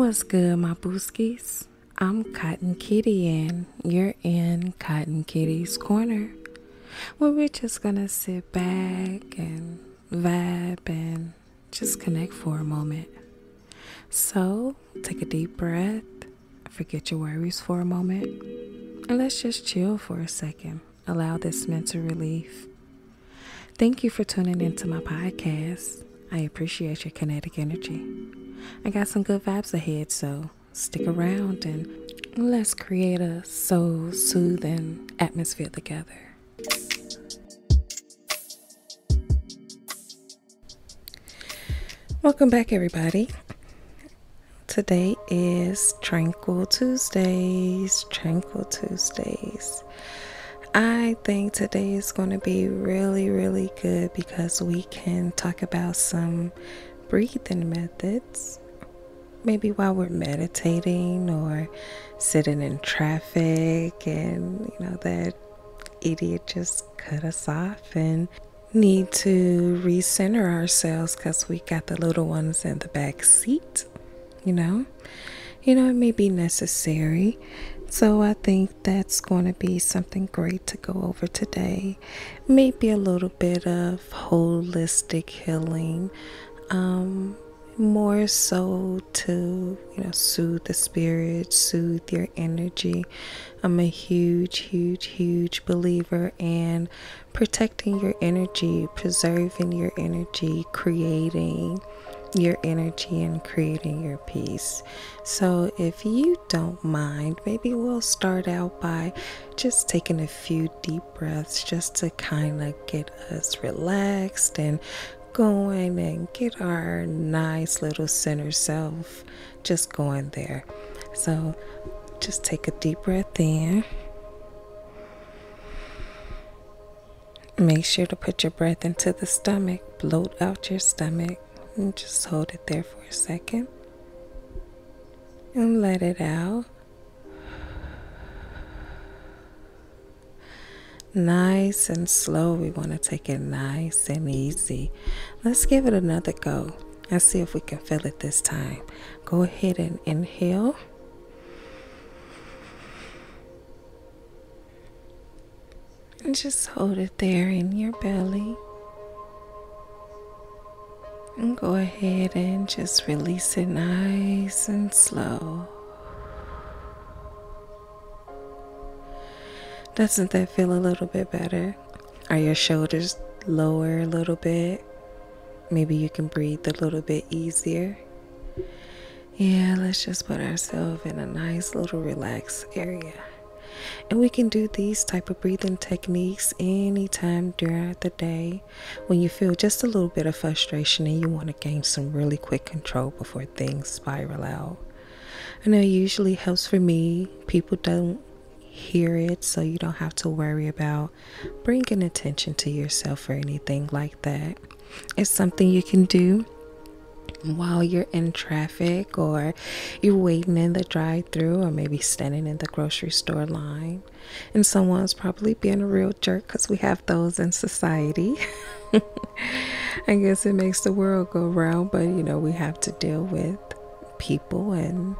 What's good, my booskies? I'm Cotton Kitty, and you're in Cotton Kitty's Corner, where we're just gonna sit back and vibe and just connect for a moment. So, take a deep breath, forget your worries for a moment, and let's just chill for a second. Allow this mental relief Thank you for tuning into my podcast. I appreciate your kinetic energy. I got some good vibes ahead, so stick around and let's create a soul soothing atmosphere together. Welcome back, everybody. Today is Tranquil Tuesdays. Tranquil Tuesdays. I think today is going to be really, really good because we can talk about some breathing methods. Maybe while we're meditating or sitting in traffic, and you know, that idiot just cut us off and need to recenter ourselves because we got the little ones in the back seat you know you know it may be necessary so i think that's going to be something great to go over today maybe a little bit of holistic healing um more so to you know soothe the spirit soothe your energy i'm a huge huge huge believer in protecting your energy preserving your energy creating your energy and creating your peace. So, if you don't mind, maybe we'll start out by just taking a few deep breaths just to kind of get us relaxed and going and get our nice little center self just going there. So, just take a deep breath in Make sure to put your breath into the stomach, bloat out your stomach, and just hold it there for a second. And let it out. Nice and slow. We want to take it nice and easy. Let's give it another go and see if we can feel it this time. Go ahead and inhale. And just hold it there in your belly. And go ahead and just release it nice and slow. Doesn't that feel a little bit better? Are your shoulders lower a little bit? Maybe you can breathe a little bit easier yeah, let's just put ourselves in a nice little relaxed area. And we can do these type of breathing techniques anytime during the day when you feel just a little bit of frustration and you want to gain some really quick control before things spiral out. I know it usually helps for me. People don't hear it, so you don't have to worry about bringing attention to yourself or anything like that. It's something you can do while you're in traffic or you're waiting in the drive through or maybe standing in the grocery store line. And someone's probably being a real jerk because we have those in society. I guess it makes the world go round, but you know, we have to deal with people and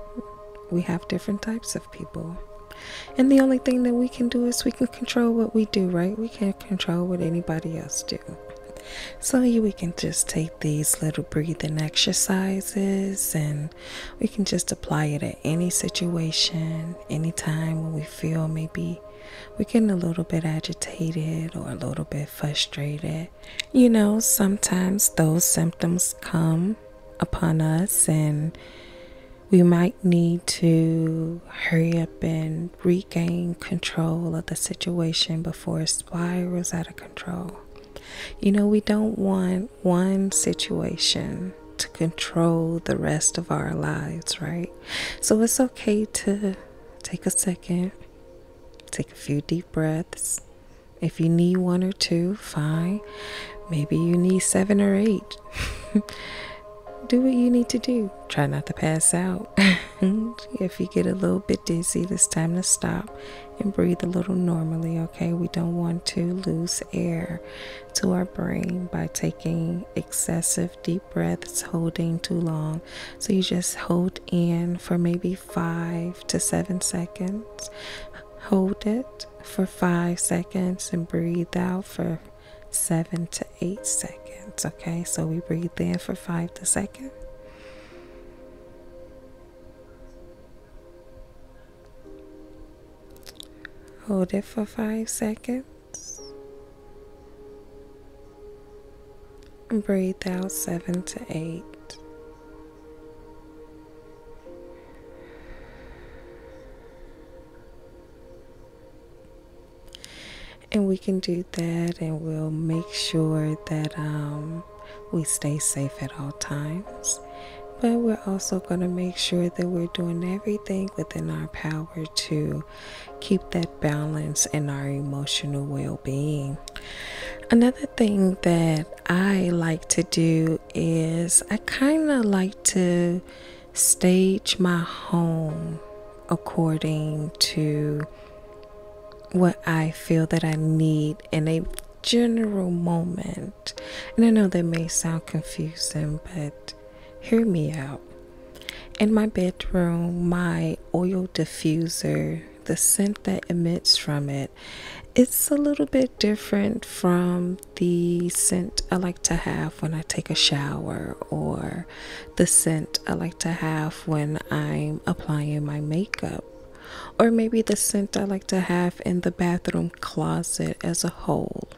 we have different types of people. And the only thing that we can do is we can control what we do, right? We can't control what anybody else do. So we can just take these little breathing exercises and we can just apply it at any situation, anytime when we feel maybe we're getting a little bit agitated or a little bit frustrated. You know, sometimes those symptoms come upon us and we might need to hurry up and regain control of the situation before it spirals out of control. You know, we don't want one situation to control the rest of our lives, right? So it's okay to take a second, take a few deep breaths. If you need one or two, fine. Maybe you need seven or eight. do what you need to do. Try not to pass out. if you get a little bit dizzy, it's time to stop and breathe a little normally, okay? We don't want to lose air to our brain by taking excessive deep breaths, holding too long. So you just hold in for maybe five to seven seconds. Hold it for five seconds and breathe out for seven to eight seconds. Okay, so we breathe in for five to second. Hold it for five seconds. Breathe out seven to eight and we can do that and we'll make sure that um, we stay safe at all times but we're also going to make sure that we're doing everything within our power to keep that balance in our emotional well-being another thing that i like to do is i kind of like to stage my home according to what I feel that I need in a general moment. And I know that may sound confusing, but hear me out. In my bedroom, my oil diffuser, the scent that emits from it, it's a little bit different from the scent I like to have when I take a shower, or the scent I like to have when I'm applying my makeup, or maybe the scent I like to have in the bathroom closet as a whole.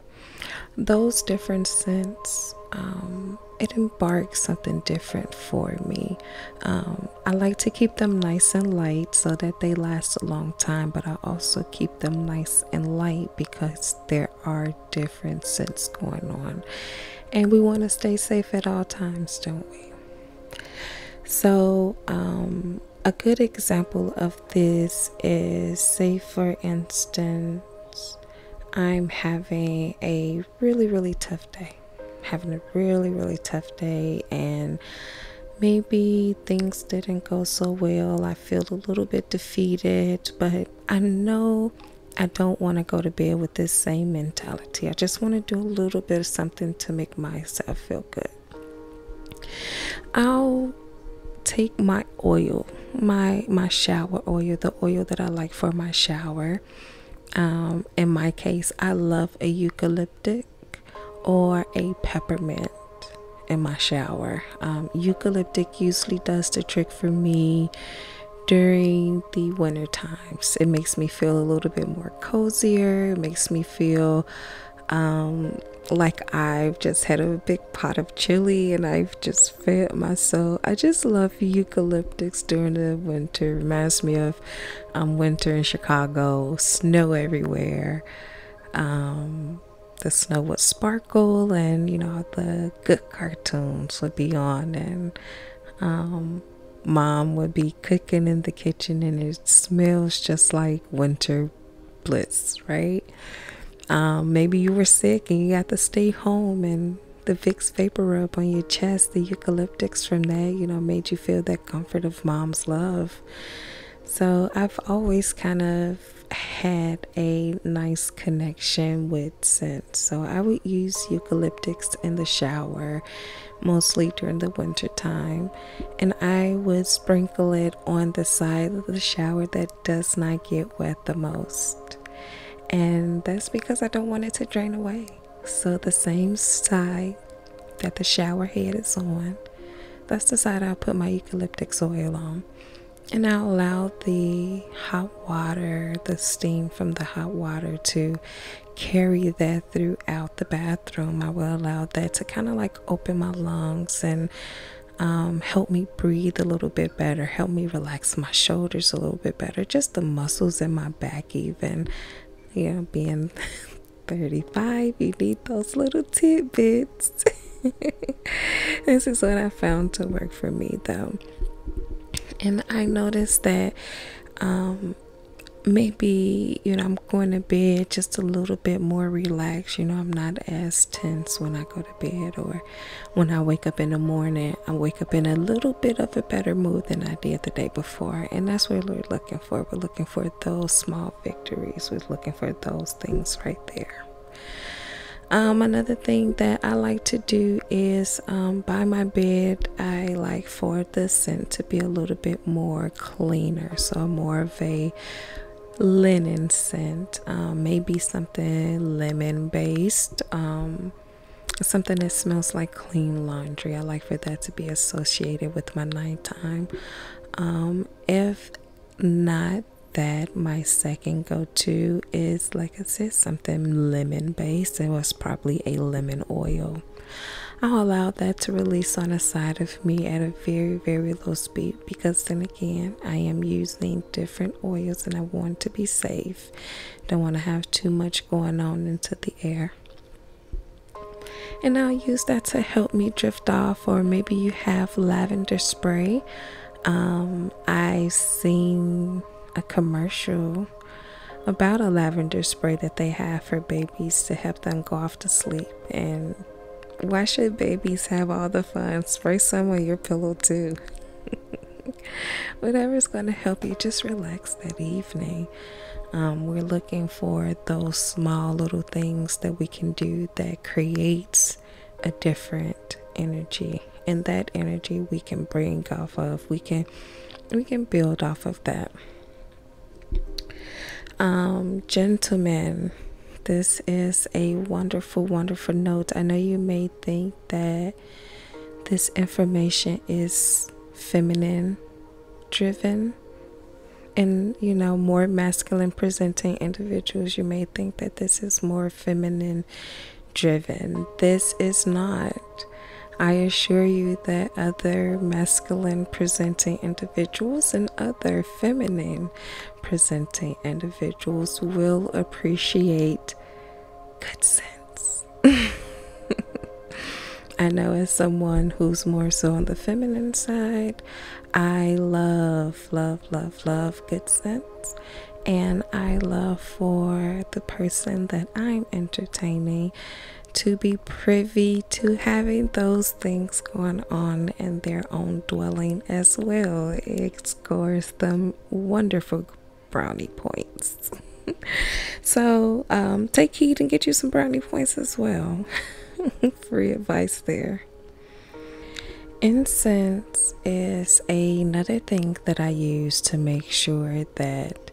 Those different scents, um, it embarks something different for me. Um, I like to keep them nice and light so that they last a long time, but I also keep them nice and light because there are different scents going on and we want to stay safe at all times don't we so um, a good example of this is say for instance i'm having a really really tough day having a really really tough day and maybe things didn't go so well i feel a little bit defeated, but I know I don't want to go to bed with this same mentality. I just want to do a little bit of something to make myself feel good. I'll take my oil, my my shower oil, the oil that I like for my shower. Um, in my case, I love a eucalyptic or a peppermint in my shower. Um, eucalyptic usually does the trick for me during the winter times. It makes me feel a little bit more cozier. It makes me feel um, like I've just had a big pot of chili and I've just fed myself. I just love eucalyptics during the winter. Reminds me of um, winter in Chicago, snow everywhere. Um, the snow would sparkle and you know the good cartoons would be on and um, mom would be cooking in the kitchen and it smells just like winter bliss right um, maybe you were sick and you got to stay home and the Vicks vapor rub on your chest, the eucalyptics from that, you know, made you feel that comfort of mom's love. So I've always kind of had a nice connection with scents. So I would use eucalyptics in the shower mostly during the winter time and I would sprinkle it on the side of the shower that does not get wet the most. And that's because I don't want it to drain away. So the same side that the shower head is on, that's the side I'll put my eucalyptus oil on and I allow the hot water, the steam from the hot water to carry that throughout the bathroom. I will allow that to kind of like open my lungs and um, help me breathe a little bit better, help me relax my shoulders a little bit better, just the muscles in my back, even. You know, being 35, you need those little tidbits. this is what I found to work for me though. And I noticed that um, maybe you know i'm going to bed just a little bit more relaxed you know i'm not as tense when i go to bed or when i wake up in the morning i wake up in a little bit of a better mood than i did the day before and that's what we're looking for we're looking for those small victories. we looking for those things right there. Um, another thing that I like to do is um, by my bed, I like for the scent to be a little bit more cleaner, so more of a linen scent, um, maybe something lemon based, something that smells like clean laundry. I like for that to be associated with my nighttime. if not that my second go to is, like I said, something lemon based. It was probably a lemon oil. I'll allow that to release on the side of me at a very, very low speed because then again, I am using different oils and I want to be safe. Don't want to have too much going on into the air and I'll use that to help me drift off. Or maybe you have lavender spray. Um, I've seen a commercial about a lavender spray that they have for babies to help them go off to sleep. And why should babies have all the fun? Spray some on your pillow too. Whatever's going to help you just relax that evening. Um, we're looking for those small little things that we can do that that creates a different energy and that energy we can bring off of we can we can build off of that um gentlemen this is a wonderful wonderful note i know you may think that this information is feminine driven and you know more masculine presenting individuals you may think that this is more feminine driven this is not i assure you that other masculine presenting individuals and other feminine presenting individuals will appreciate good sense I know as someone who's more so on the feminine side, I love, love, love, love good sense. And I love for the person that I'm entertaining to be privy to having those things going on in their own dwelling as well. It scores them wonderful brownie points. so um, take heed and get you some brownie points as well. free advice there. Incense is another thing that I use to make sure that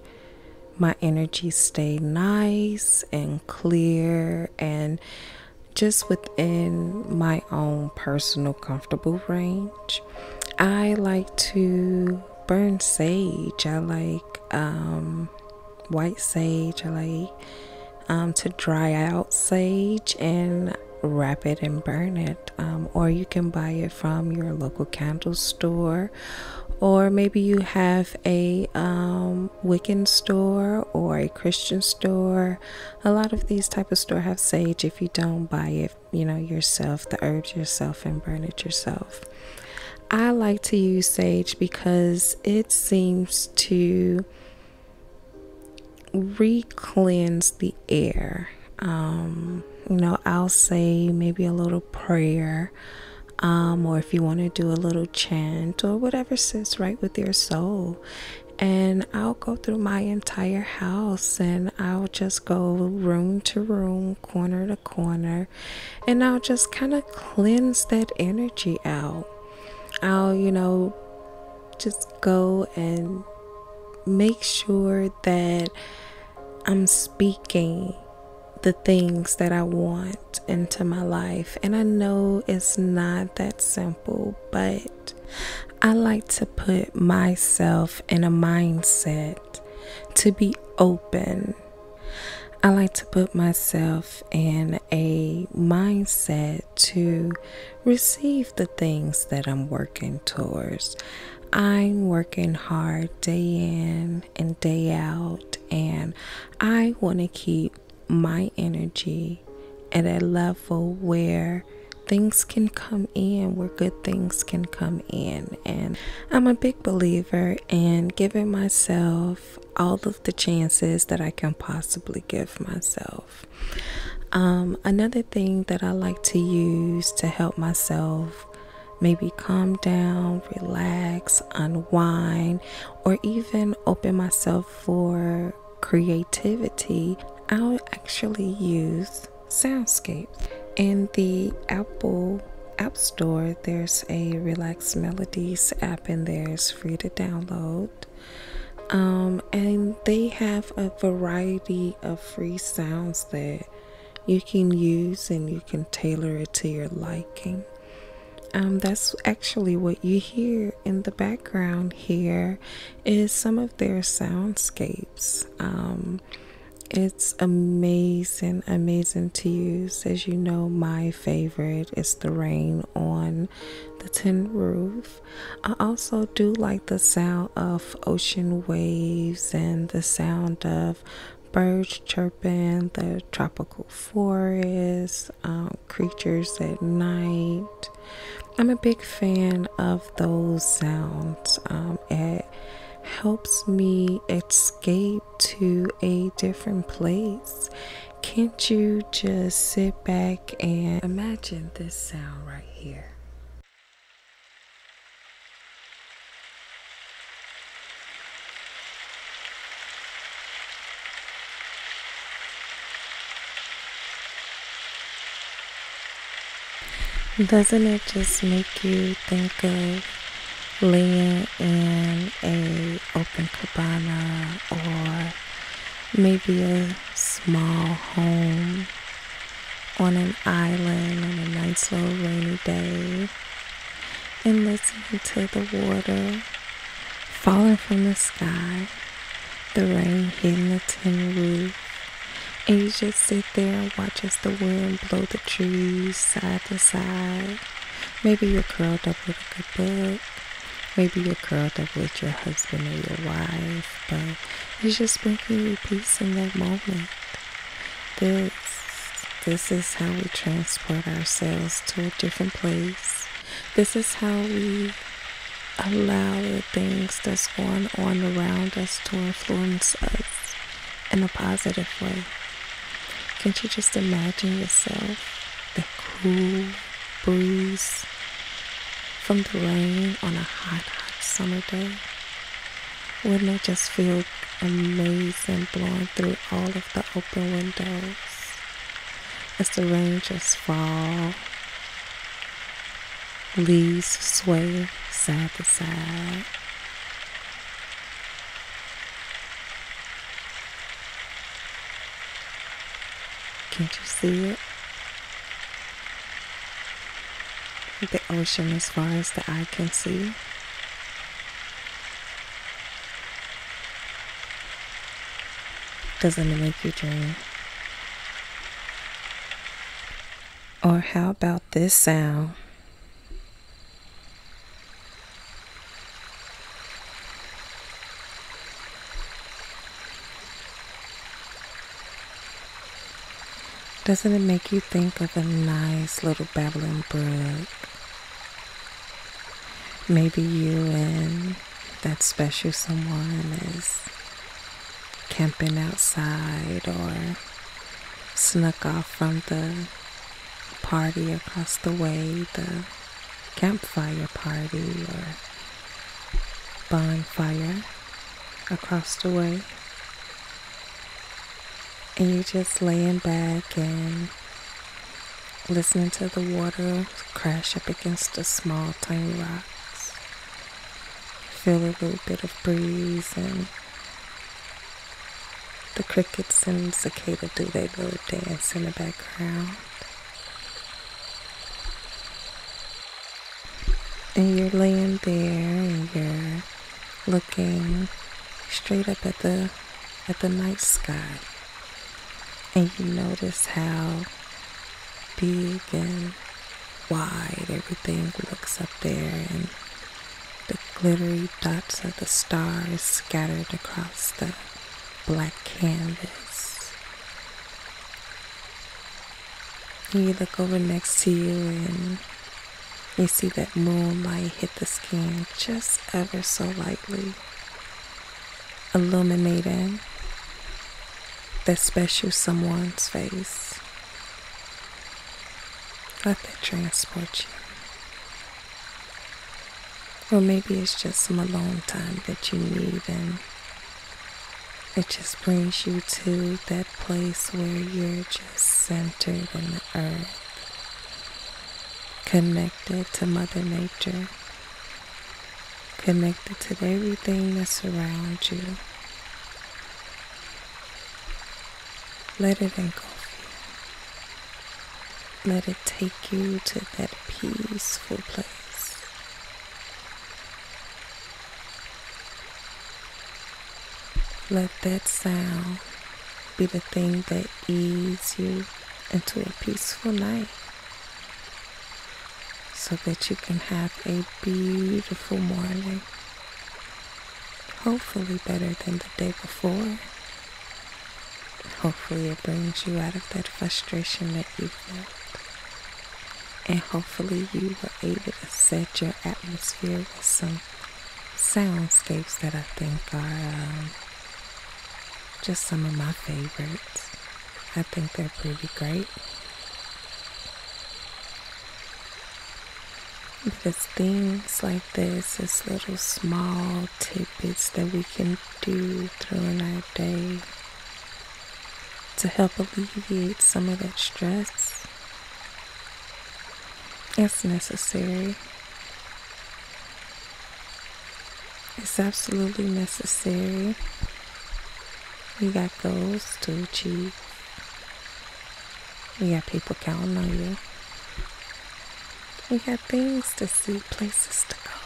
my energy stay nice and clear and just within my own personal comfortable range. I like to burn sage. I like um white sage. like um, to dry out sage and wrap it and burn it. Um, or you can buy it from your local candle store, or maybe you have a um, Wiccan store or a Christian store. A lot of these type of store have sage. If you don't buy it, you know yourself, the herb yourself, and burn it yourself. I like to use sage because it seems to re-cleanse the air um, you know i'll say maybe a little prayer um, or if you want to do a little chant or whatever sits right with your soul and I'll go through my entire house and I'll just go room to room, corner to corner, and I'll just kind of cleanse that energy out. I'll, you know, just go and make sure that I'm speaking the things that I want into my life. And I know it's not that simple, but I like to put myself in a mindset to be open I like to put myself in a mindset to receive the things that I'm working towards. I'm working hard day in and day out, and I want to keep my energy at a level where things can come in, where good things can come in. And I'm a big believer and giving myself all of the chances that I can possibly give myself. Um, another thing that I like to use to help myself maybe calm down, relax, unwind, or even open myself for creativity, I'll actually use soundscapes. In the Apple App Store, there's a Relax Melodies app and there's free to download. Um, and they have a variety of free sounds that you can use and you can tailor it to your liking. Um, that's actually what you hear in the background here is some of their soundscapes. Um, it's amazing, amazing to use. As you know, my favorite it's the rain on the tin roof. I also do like the sound of ocean waves and the sound of birds chirping, the tropical forest, um, creatures at night. I'm a big fan of those sounds. Um, it helps me escape to a different place. Can't you just sit back and imagine this sound right here? Doesn't it just make you think of laying in a open cabana or maybe a small home on an island on a nice little rainy day and listening to the water falling from the sky, the rain hitting the tin roof. And you just sit there and watch as the wind blow the trees side to side. Maybe you're curled with a good book. Maybe you're curled up with your husband or your wife, but it's just bringing you peace in that moment. This, this is how we transport ourselves to a different place. This is how we allow the things that's going on around us to influence us in a positive way. Can't you just imagine yourself? The cool breeze from the rain on a hot, hot summer day. Wouldn't it just feel amazing blowing through all of the open windows as the rain just fall, leaves sway side to side. Can't you see it? The ocean as far as the eye can see. Doesn't it make you dream? Or how about this sound? Doesn't it make you think of a nice little babbling brook? Maybe you and that special someone is camping outside or snuck off from the party across the way, the campfire party or bonfire across the way. And you're just laying back and listening to the water crash up against the small, tiny rocks. Feel a little bit of breeze and the crickets and cicada do they go dance in the background. And you're laying there and you're looking straight up at the at the night sky. And you notice how big and wide everything looks up there and the glittery dots of the stars scattered across the black canvas. You look over next to you and you see that moonlight hit the skin just ever so lightly, illuminating that special someone's face. Let that transport you. Or maybe it's just some alone time that you need and it just brings you to that place where you're just centered in the earth, connected to Mother Nature, connected to everything that surrounds you. Let it engulf you. Let it take you to that peaceful place. Let that sound be the thing that eases you into a peaceful night so that you can have a beautiful morning. Hopefully, better than the day before. Hopefully, it brings you out of that frustration that you felt. And hopefully, you were able to set your atmosphere with some soundscapes that I think are um, just some of my favorites. I think they're pretty great because things like this is little small tidbits that we can do during our day to help alleviate some of that stress. It's necessary. It's absolutely necessary. We got goals to achieve. We got people counting on you. We got things to see, places to go,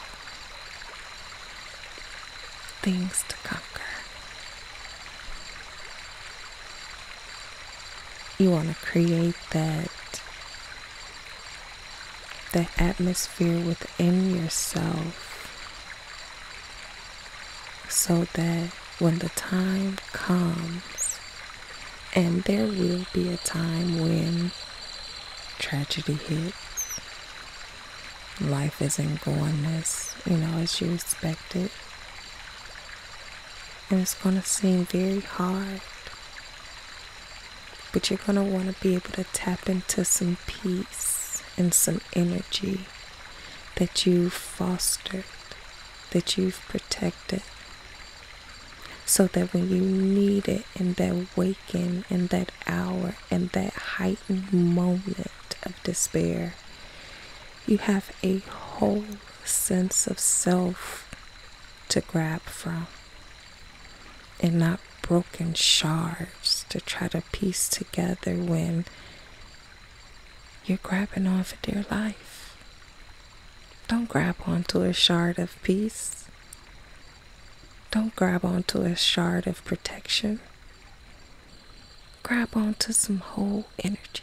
things to conquer. You want to create that that atmosphere within yourself so that when the time comes and there will be a time when tragedy hits. Life isn't going as, you know, as you expected. And it's going to seem very hard. But you're going to want to be able to tap into some peace and some energy that you fostered that you've protected so that when you need it in that waking, in that hour, in that heightened moment of despair, you have a whole sense of self to grab from and not broken shards to try to piece together when you're grabbing on for dear life. Don't grab onto a shard of peace. Don't grab onto a shard of protection. Grab onto some whole energy.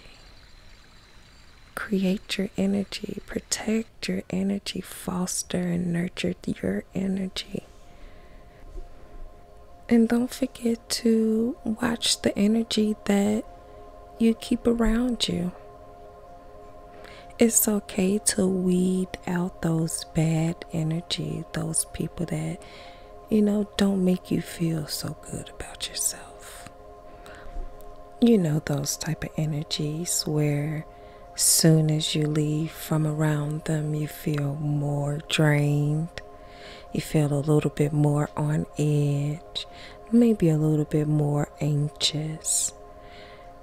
Create your energy, protect your energy, foster and nurture your energy. And don't forget to watch the energy that you keep around you. It's okay to weed out those bad energy, those people that, you know, don't make you feel so good about yourself. You know, those type of energies where soon as you leave from around them, you feel more drained you feel a little bit more on edge, maybe a little bit more anxious.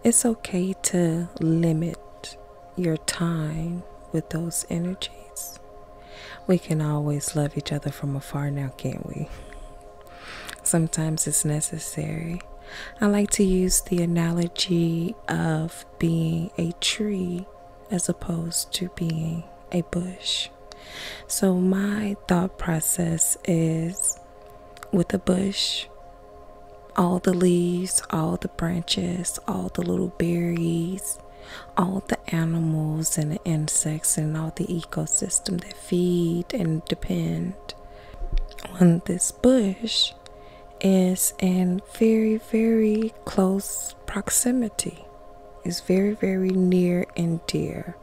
It's okay to limit your time with those energies. We can always love each other from afar now, can't we? Sometimes it's necessary. I like to use the analogy of being a tree as opposed to being a bush. So, my thought process is with the bush, all the leaves, all the branches, all the little berries, all the animals and the insects, and all the ecosystem that feed and depend on this bush is in very, very close proximity. Is very, very near and dear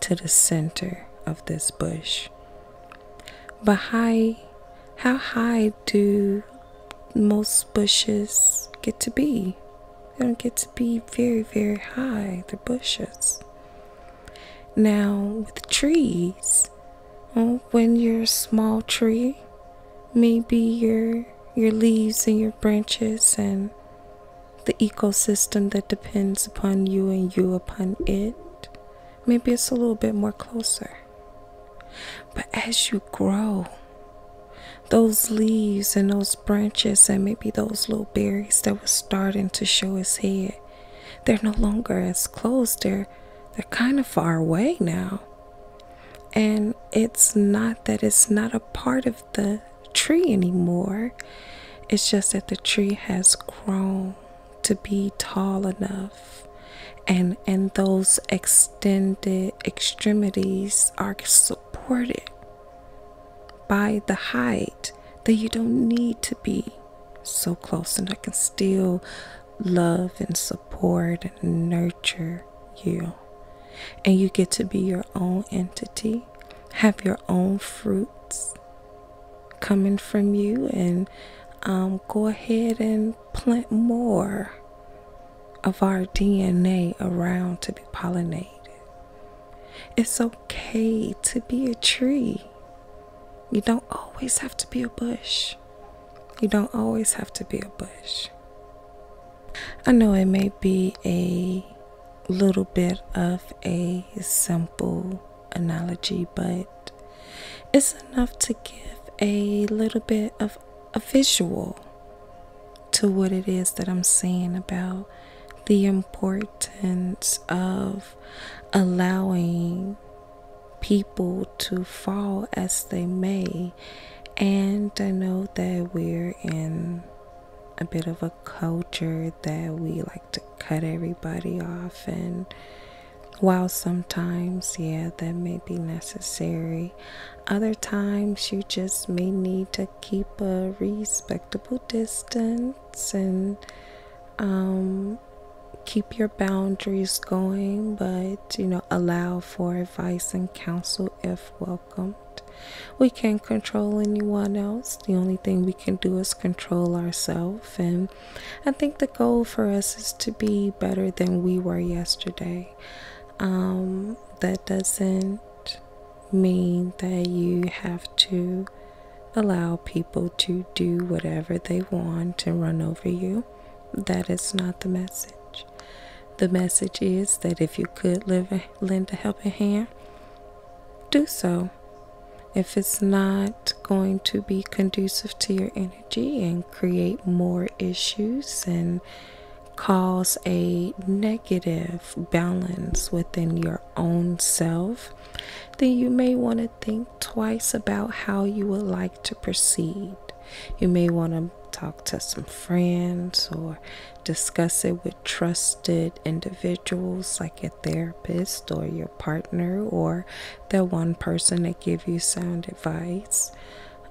to the center of this bush. But high, how high do most bushes get to be? They don't get to be very, very high, the bushes. Now, with trees, when you're a small tree, maybe your your leaves and your branches and the ecosystem that depends upon you and you upon it. Maybe it's a little bit more closer. But as you grow, those leaves and those branches and maybe those little berries that were starting to show its head, they're no longer as close. They're they're kind of far away now. And it's not that it's not a part of the tree anymore. It's just that the tree has grown to be tall enough and and those extended extremities are supported by the height that you don't need to be so close and I can still love and support and nurture you and you get to be your own entity, have your own fruits coming from you, and um, go ahead and plant more of our DNA around to be pollinated. It's okay to be a tree. You don't always have to be a bush. You don't always have to be a bush. I know it may be a little bit of a simple analogy, but it's enough to give a little bit of a visual to what it is that I'm saying about the importance of allowing people to fall as they may. And I know that we're in a bit of a culture that we like to cut everybody off and while sometimes yeah that may be necessary other times you just may need to keep a respectable distance and um keep your boundaries going but you know allow for advice and counsel if welcome we can't control anyone else. The only thing we can do is control ourselves. And I think the goal for us is to be better than we were yesterday. Um, that doesn't mean that you have to allow people to do whatever they want and run over you. That is not the message. The message is that if you could lend a helping hand, do so. If it's not going to be conducive to your energy and create more issues and cause a negative balance within your own self, then you may want to think twice about how you would like to proceed. You may want to talk to some friends or discuss it with trusted individuals like a therapist or your partner or the one person that give you sound advice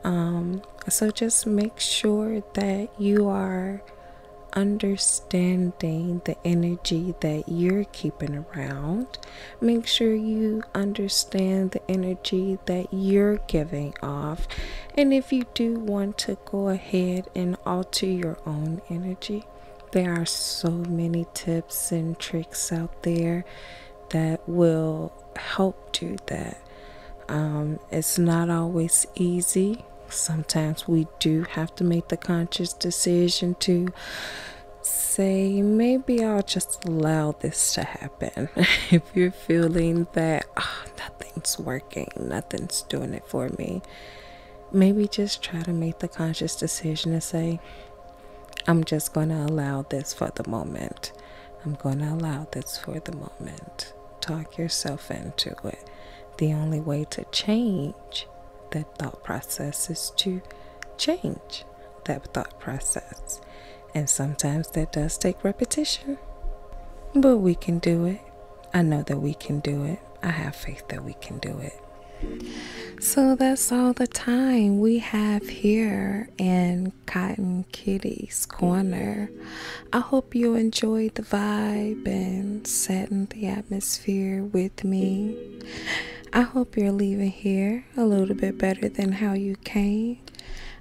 um, so just make sure that you are understanding the energy that you're keeping around make sure you understand the energy that you're giving off and if you do want to go ahead and alter your own energy, there are so many tips and tricks out there that will help you. that. Um, it's not always easy. Sometimes we do have to make the conscious decision to say, maybe I'll just allow this to happen if you're feeling that ah, nothing's working, nothing's doing it for me, maybe just try to make the conscious decision to say, I'm just going to allow this for the moment. I'm going to allow this for the moment. Talk yourself into it. The only way to change that thought process is to change that thought process and sometimes that does take repetition. But we can do it. I know that we can do it. I have faith that we can do it. So that's all the time we have here in Cotton Kitty's Corner. I hope you enjoyed the vibe and setting the atmosphere with me. I hope you're leaving here a little bit better than how you came.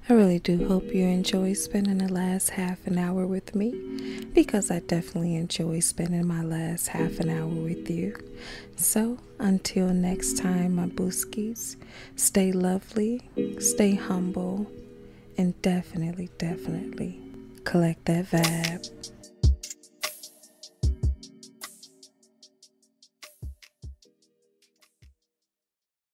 I really do hope you enjoy spending the last half an hour with me because I definitely enjoy spending my last half an hour with you. So, until next time, my booskies, stay lovely, stay humble, and definitely, definitely collect that vibe.